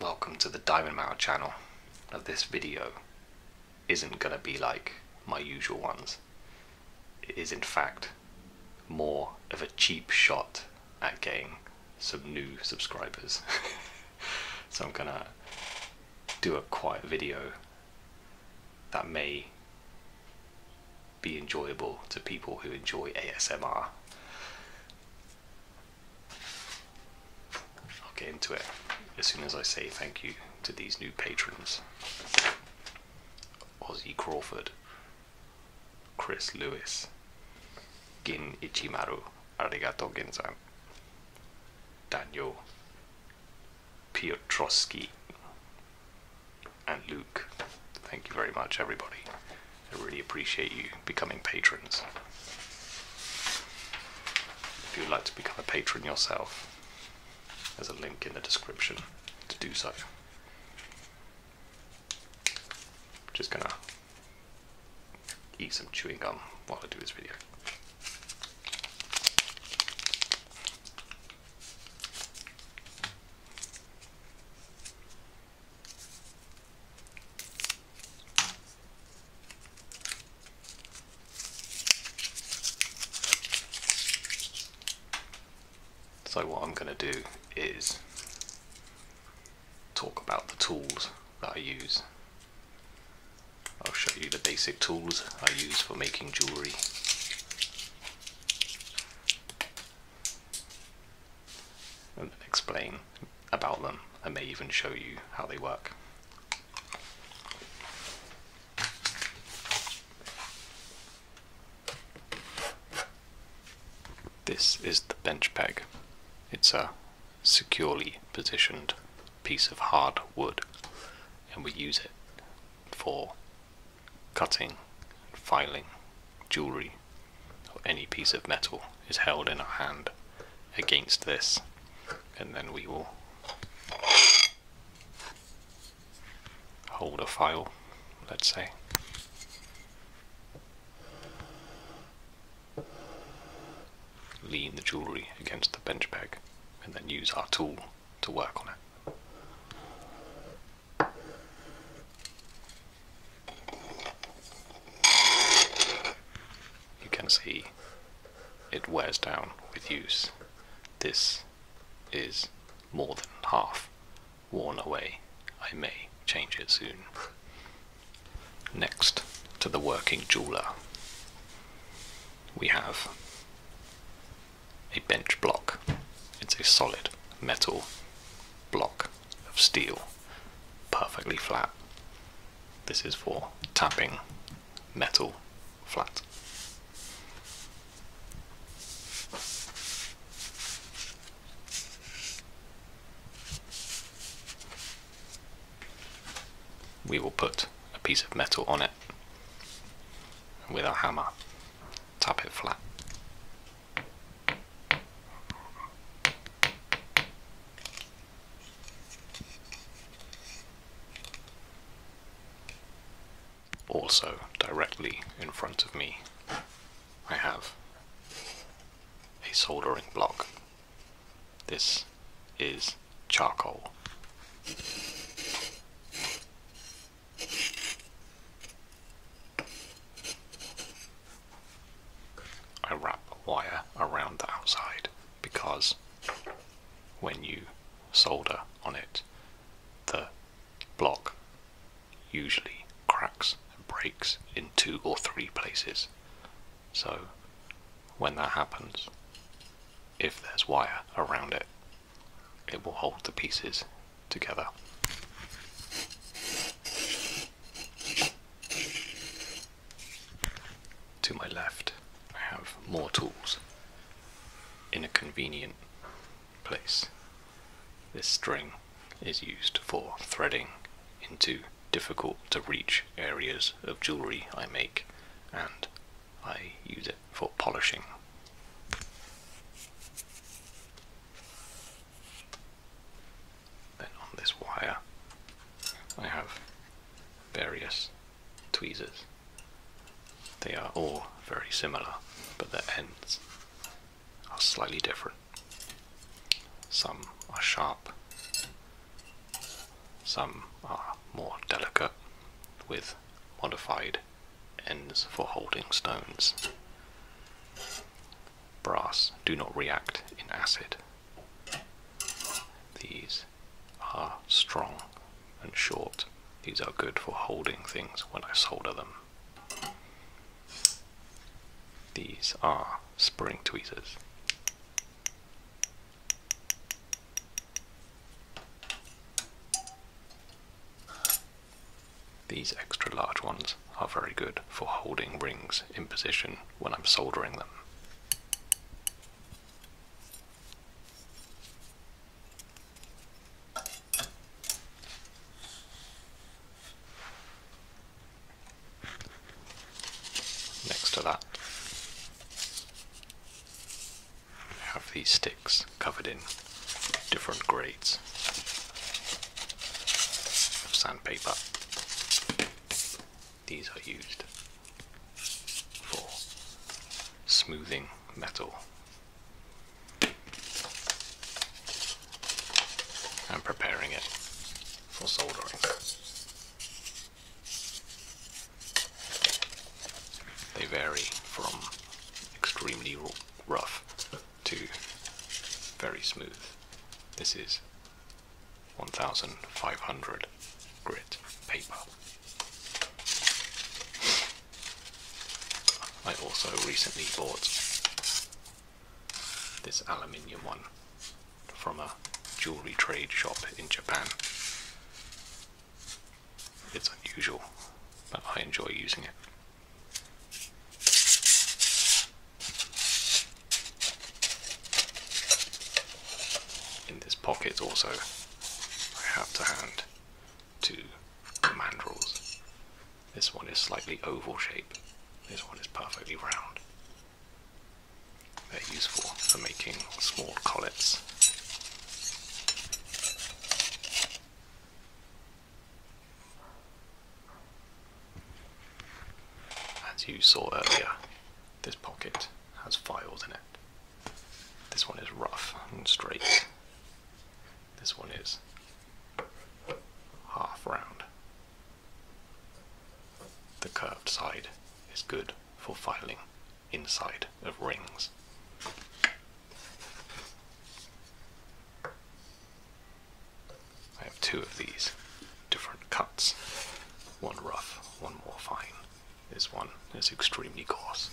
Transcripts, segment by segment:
Welcome to the Diamond Marrow channel. Now this video isn't going to be like my usual ones. It is in fact more of a cheap shot at getting some new subscribers. so I'm going to do a quiet video that may be enjoyable to people who enjoy ASMR. I'll get into it as soon as I say thank you to these new patrons Ozzy Crawford, Chris Lewis, Gin Ichimaru, Arigato Gensan, Daniel Piotrowski, and Luke. Thank you very much, everybody. I really appreciate you becoming patrons. If you'd like to become a patron yourself, there's a link in the description to do so. Just gonna eat some chewing gum while I do this video. So what I'm going to do is talk about the tools that I use. I'll show you the basic tools I use for making jewellery and explain about them. and may even show you how they work. This is the bench peg. It's a securely positioned piece of hard wood and we use it for cutting, filing, jewelry, or any piece of metal is held in our hand against this, and then we will hold a file, let's say. Lean the jewellery against the bench peg and then use our tool to work on it. You can see it wears down with use. This is more than half worn away. I may change it soon. Next to the working jeweler, we have a bench block. It's a solid metal block of steel, perfectly flat. This is for tapping metal flat. We will put a piece of metal on it with our hammer, tap it flat. Also, directly in front of me, I have a soldering block. This is charcoal. I wrap wire around the outside because when you solder on it, the block usually cracks and breaks in two or three places. So when that happens, if there's wire around it, it will hold the pieces together. To my left, I have more tools in a convenient place. This string is used for threading into difficult to reach areas of jewellery I make, and I use it for polishing. Then on this wire, I have various tweezers. They are all very similar, but their ends are slightly different. Some are sharp, some are more delicate with modified ends for holding stones. Brass do not react in acid. These are strong and short. These are good for holding things when I solder them. These are spring tweezers. These extra large ones are very good for holding rings in position when I'm soldering them. Next to that, have these sticks covered in different grades of sandpaper. These are used for smoothing metal and preparing it for soldering. They vary from extremely rough to very smooth. This is 1500 grit paper. I also recently bought this aluminium one from a jewelry trade shop in Japan it's unusual, but I enjoy using it. In this pocket, also, I have to hand two mandrels. This one is slightly oval shape, this one is perfectly round. They're useful for making small collets. As you saw earlier, this pocket has files in it. This one is rough and straight. This one is half round. The curved side is good for filing inside of rings. I have two of these different cuts. One rough, one more fine. This one is extremely coarse.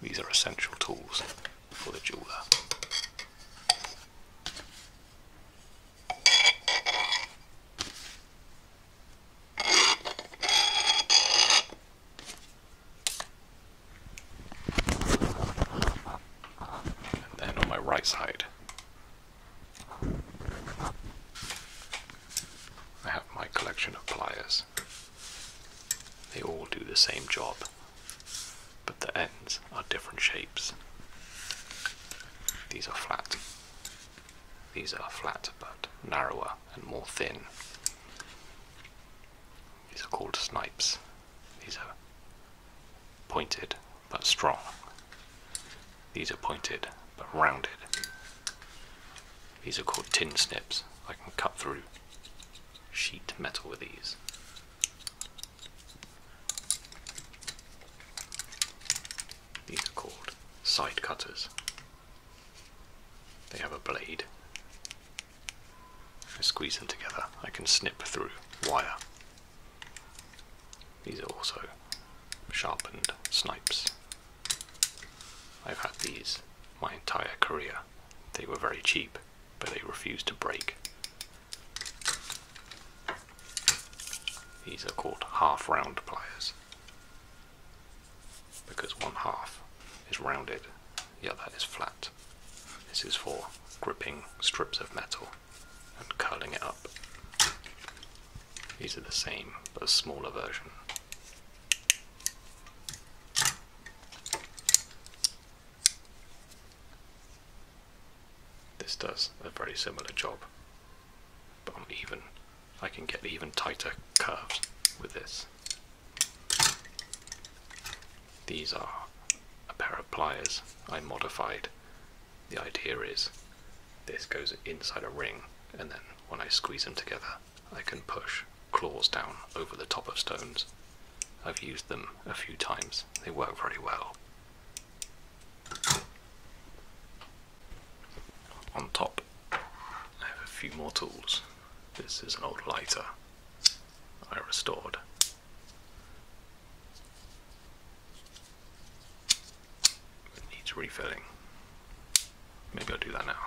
These are essential tools for the jeweler. And then on my right side, I have my collection of pliers. They all do the same job but the ends are different shapes. These are flat. These are flat but narrower and more thin. These are called snipes. These are pointed but strong. These are pointed but rounded. These are called tin snips. I can cut through sheet metal with these. These are called side cutters. They have a blade. I squeeze them together, I can snip through wire. These are also sharpened snipes. I've had these my entire career. They were very cheap but they refuse to break. These are called half round pliers because one half is rounded, the other is flat. This is for gripping strips of metal and curling it up. These are the same but a smaller version. This does a very similar job, but I'm even, I can get even tighter curves with this. These are a pair of pliers I modified. The idea is this goes inside a ring, and then when I squeeze them together, I can push claws down over the top of stones. I've used them a few times, they work very well. On top, I have a few more tools. This is an old lighter I restored. It needs refilling. Maybe I'll do that now.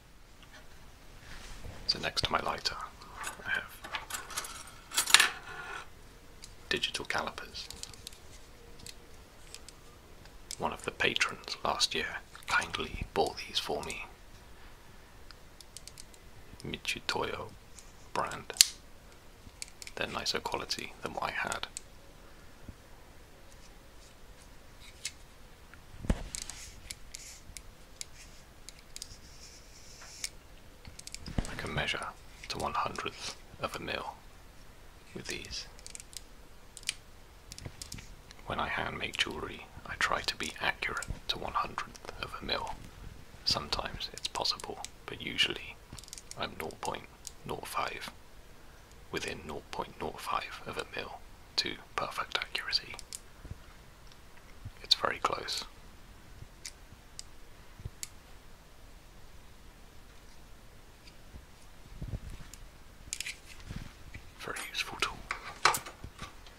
So next to my lighter, I have digital calipers. One of the patrons last year kindly bought these for me. Michitoyo brand. They're nicer quality than what I had. I can measure to one hundredth of a mil with these. When I hand make jewellery, I try to be accurate to one hundredth of a mil. Sometimes it's possible, but usually I'm 0.05 within 0.05 of a mill, to perfect accuracy. It's very close. Very useful tool.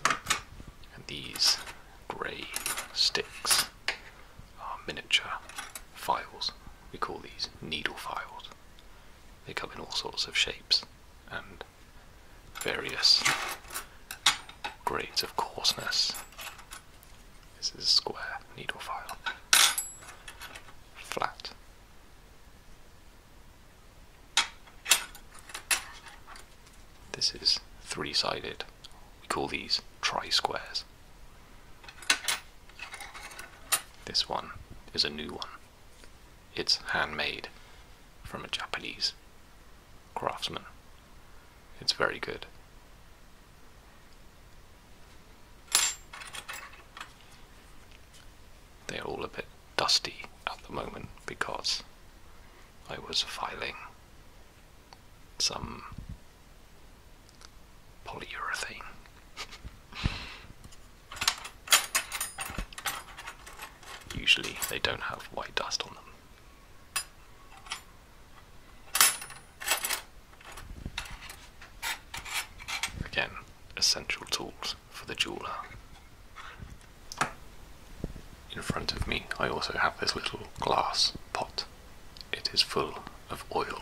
And these grey sticks are miniature files. We call these needle files. They come in all sorts of shapes and various grades of coarseness. This is a square needle file. Flat. This is three sided. We call these tri squares. This one is a new one. It's handmade from a Japanese craftsman. It's very good. They're all a bit dusty at the moment because I was filing some polyurethane Usually they don't have white dust on them. Again, essential tools for the jeweler. In front of me, I also have this little glass pot. It is full of oil.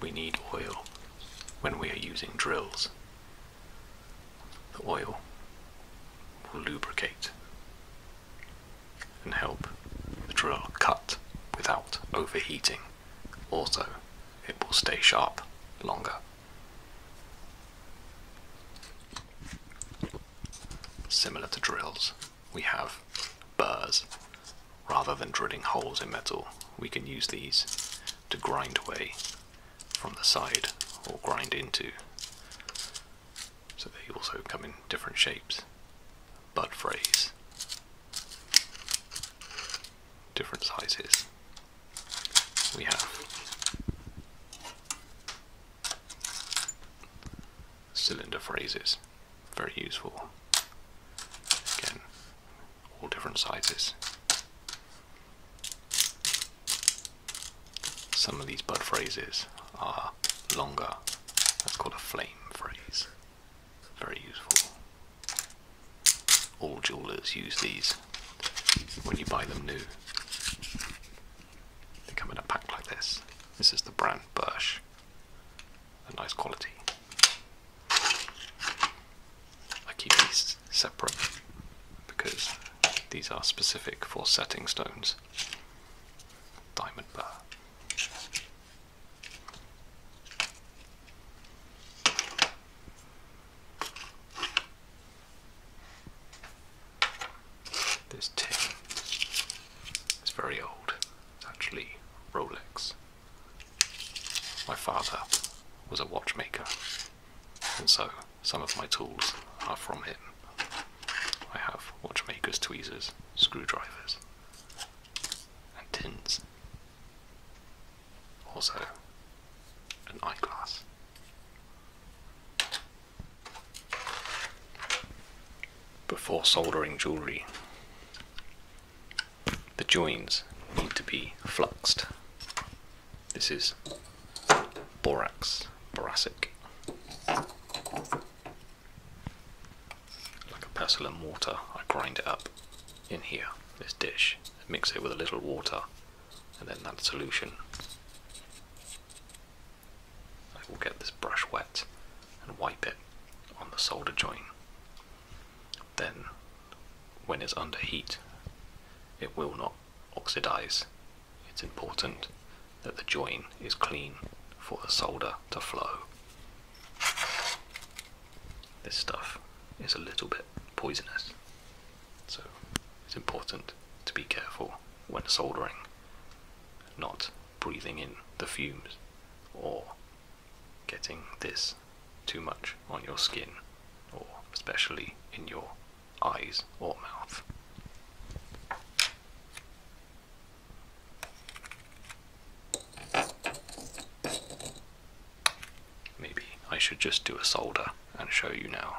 We need oil when we are using drills. The oil will lubricate and help the drill cut without overheating. Also, it will stay sharp longer. Similar to drills, we have burrs rather than drilling holes in metal, we can use these to grind away from the side or grind into. So they also come in different shapes. Bud phrase. Different sizes. We have cylinder phrases very useful. Again, all different sizes. Some of these bud phrases are longer. That's called a flame phrase. Very useful. All jewelers use these when you buy them new. They come in a pack like this. This is the brand Birch a nice quality. I keep these separate because these are specific for setting stones. Diamond burr. This tin is very old. It's actually Rolex. My father was a watchmaker, and so some of my tools are from him. I have watchmakers, tweezers, screwdrivers, and tins. Also, an eyeglass. Before soldering jewellery, the joins need to be fluxed. This is borax, boracic, like a pestle and mortar. I grind it up in here, this dish, mix it with a little water, and then that solution. I will get this brush wet and wipe it on the solder joint then when it's under heat, it will not oxidize. It's important that the join is clean for the solder to flow. This stuff is a little bit poisonous, so it's important to be careful when soldering, not breathing in the fumes or getting this too much on your skin, or especially in your eyes or mouth. Maybe I should just do a solder and show you now.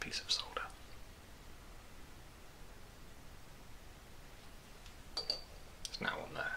piece of solder. There's now one there.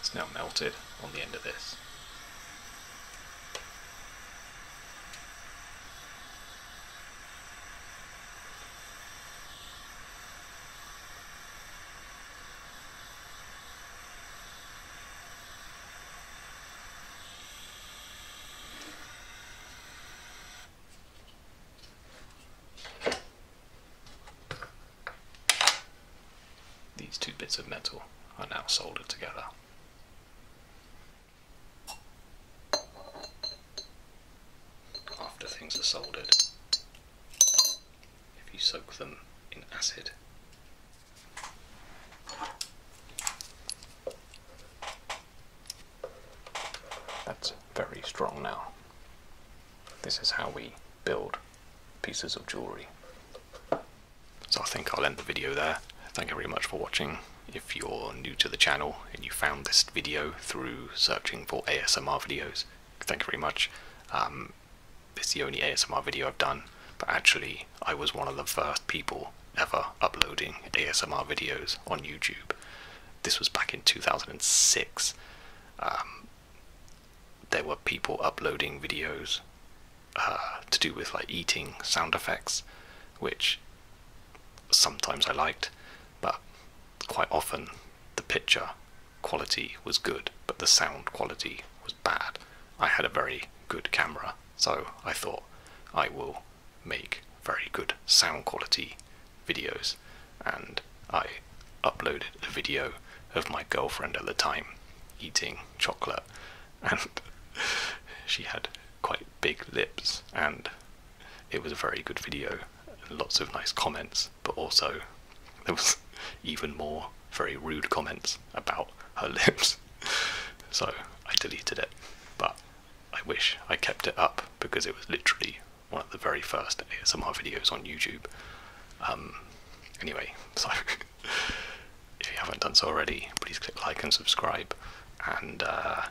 It's now melted on the end of this. These two bits of metal are now soldered together. After things are soldered, if you soak them in acid, that's very strong now. This is how we build pieces of jewellery. So I think I'll end the video there. Thank you very much for watching. If you're new to the channel and you found this video through searching for ASMR videos, thank you very much. Um, it's the only ASMR video I've done, but actually I was one of the first people ever uploading ASMR videos on YouTube. This was back in 2006. Um, there were people uploading videos uh, to do with like eating sound effects, which sometimes I liked, but quite often the picture quality was good, but the sound quality was bad. I had a very good camera, so I thought I will make very good sound quality videos, and I uploaded a video of my girlfriend at the time eating chocolate and she had quite big lips, and it was a very good video. Lots of nice comments, but also there was even more very rude comments about her lips. So I deleted it, but I wish I kept it up because it was literally one of the very first ASMR videos on YouTube. Um, anyway, so if you haven't done so already, please click like and subscribe, and uh,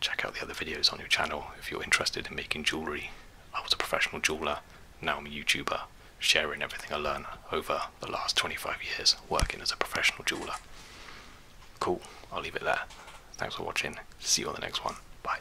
check out the other videos on your channel if you're interested in making jewellery. I was a professional jeweller, now I'm a YouTuber, sharing everything I learned over the last 25 years working as a professional jeweller. Cool, I'll leave it there. Thanks for watching, see you on the next one, bye.